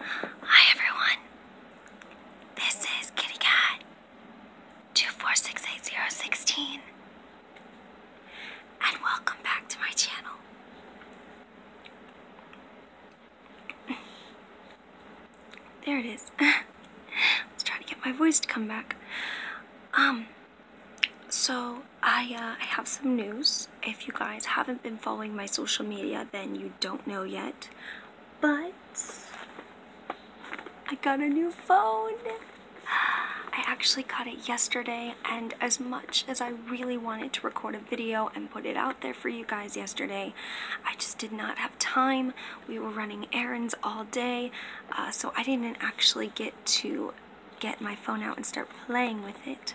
Hi everyone. This is Kitty Cat 2468016 and welcome back to my channel. There it is. I was trying to get my voice to come back. Um so uh, I, have some news. If you guys haven't been following my social media, then you don't know yet. But I got a new phone. I actually got it yesterday, and as much as I really wanted to record a video and put it out there for you guys yesterday, I just did not have time. We were running errands all day, uh, so I didn't actually get to get my phone out and start playing with it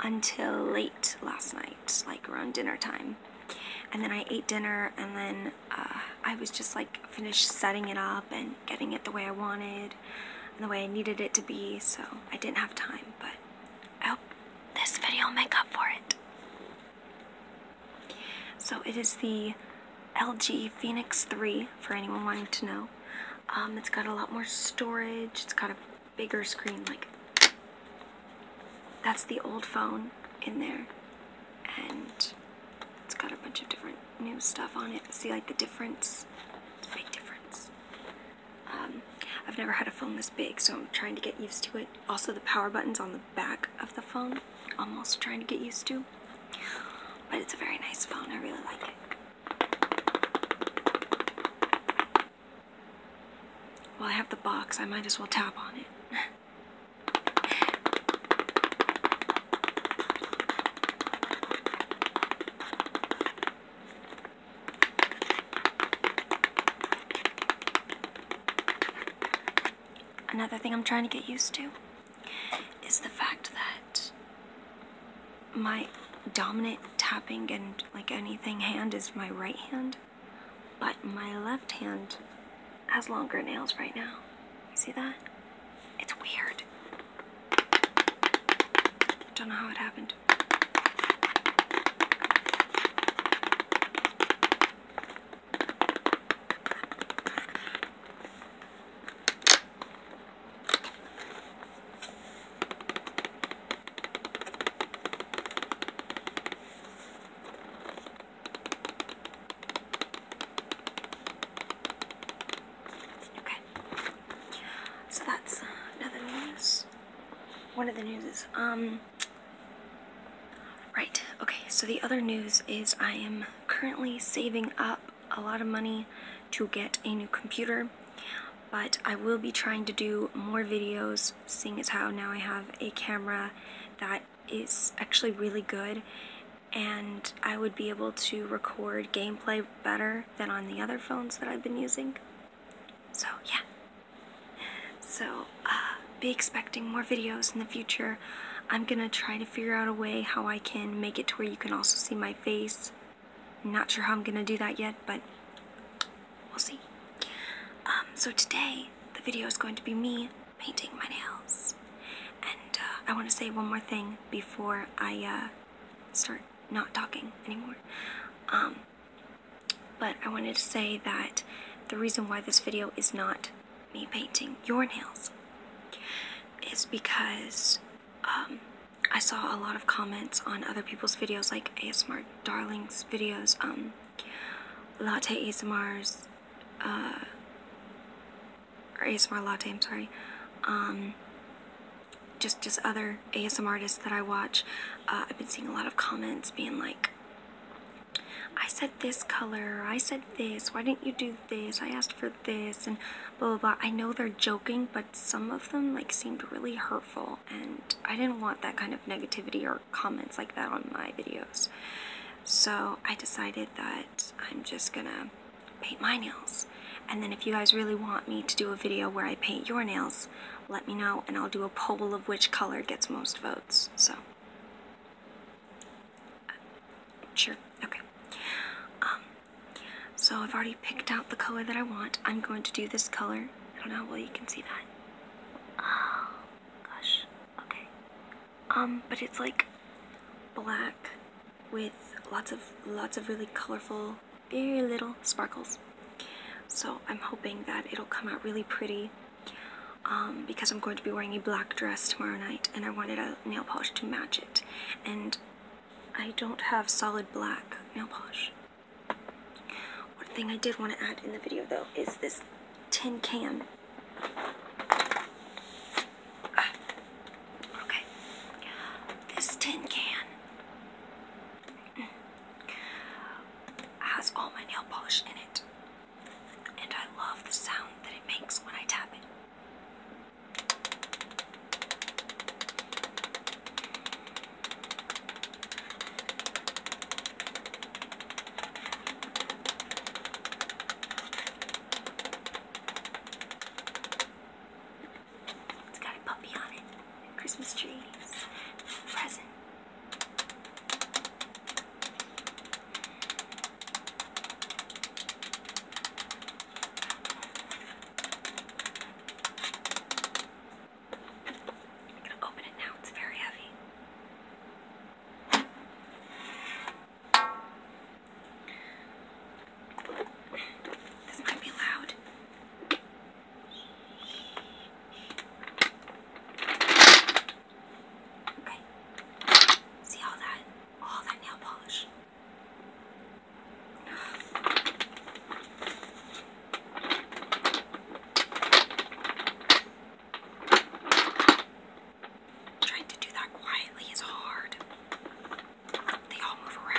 until late last night, like around dinner time. And then I ate dinner and then uh, I was just like finished setting it up and getting it the way I wanted and the way I needed it to be. So I didn't have time, but I hope this video will make up for it. So it is the LG Phoenix 3 for anyone wanting to know. Um, it's got a lot more storage. It's got a bigger screen like that's the old phone in there and it's got a bunch of different new stuff on it see like the difference big difference um, I've never had a phone this big so I'm trying to get used to it also the power buttons on the back of the phone I'm also trying to get used to but it's a very nice phone I really like it well, I have the box. I might as well tap on it. Another thing I'm trying to get used to is the fact that my dominant tapping and like anything hand is my right hand, but my left hand has longer nails right now. You see that? It's weird. Don't know how it happened. Okay, so that's another news. One of the news is, um, right, okay, so the other news is I am currently saving up a lot of money to get a new computer but I will be trying to do more videos seeing as how now I have a camera that is actually really good and I would be able to record gameplay better than on the other phones that I've been using. So yeah. So uh, be expecting more videos in the future. I'm gonna try to figure out a way how I can make it to where you can also see my face not sure how I'm gonna do that yet, but we'll see. Um, so today, the video is going to be me painting my nails. And uh, I want to say one more thing before I uh, start not talking anymore. Um, but I wanted to say that the reason why this video is not me painting your nails is because um, I saw a lot of comments on other people's videos, like ASMR Darling's videos, um, Latte ASMR's, uh, or ASMR Latte, I'm sorry, um, just, just other ASMR artists that I watch. Uh, I've been seeing a lot of comments being like, I said this color, I said this, why didn't you do this, I asked for this, and blah, blah, blah. I know they're joking, but some of them, like, seemed really hurtful and I didn't want that kind of negativity or comments like that on my videos. So I decided that I'm just gonna paint my nails. And then if you guys really want me to do a video where I paint your nails, let me know and I'll do a poll of which color gets most votes. So, uh, sure, okay. Um, so I've already picked out the color that I want. I'm going to do this color. I don't know well you can see that. Oh, gosh. Okay. Um, but it's like black with lots of lots of really colorful, very little sparkles. So I'm hoping that it'll come out really pretty um, because I'm going to be wearing a black dress tomorrow night and I wanted a nail polish to match it. And I don't have solid black nail polish. One thing I did want to add in the video though is this tin can. Ah, okay. This tin can has all my nail polish in it. And I love the sound that it makes when I tap it. It's got a puppy on it. Christmas trees. Present. I'm gonna open it now, it's very heavy. This might be loud. Okay. See all that all that nail polish. Trying to do that quietly is hard. They all move around.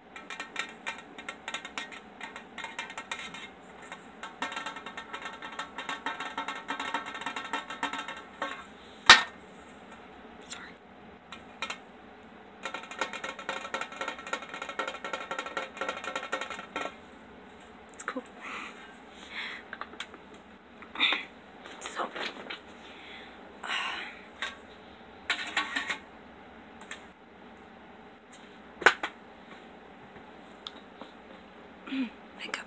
Sorry. It's cool. So, uh, Makeup.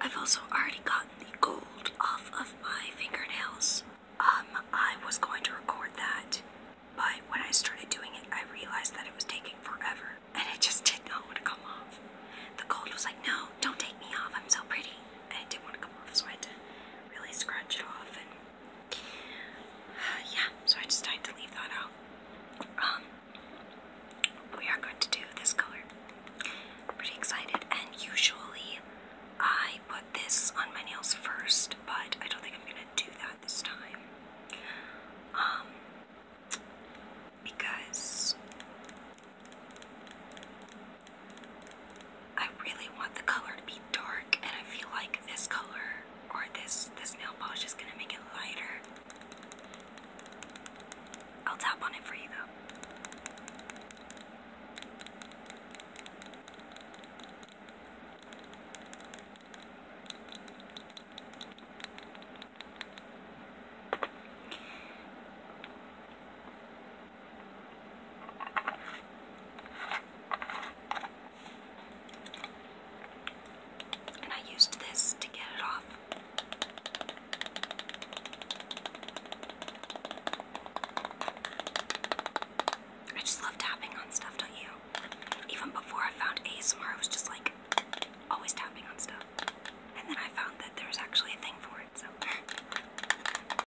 I've also already gotten the gold off of my fingernails. Um, I was going to record that, but when I started doing it, I realized that it was taking forever, and it just did not want to come off. The gold was like, no, don't take me off, I'm so pretty, and it didn't want to come off, so I had really scratch it off. And uh, yeah, so I decided to leave that out. Um, we are going to do this color. am pretty excited, and usually I put this on my nails first, but I don't think I'm gonna do that this time. Um, because I really want the color to be dark, and I feel like this color or this this nail polish is gonna make it lighter. I'll tap on it for you though. And I used this to get it off. I just love tapping on stuff, don't you? Even before I found ASMR, I was just like always tapping on stuff. And then I found that there's actually a thing for it, so.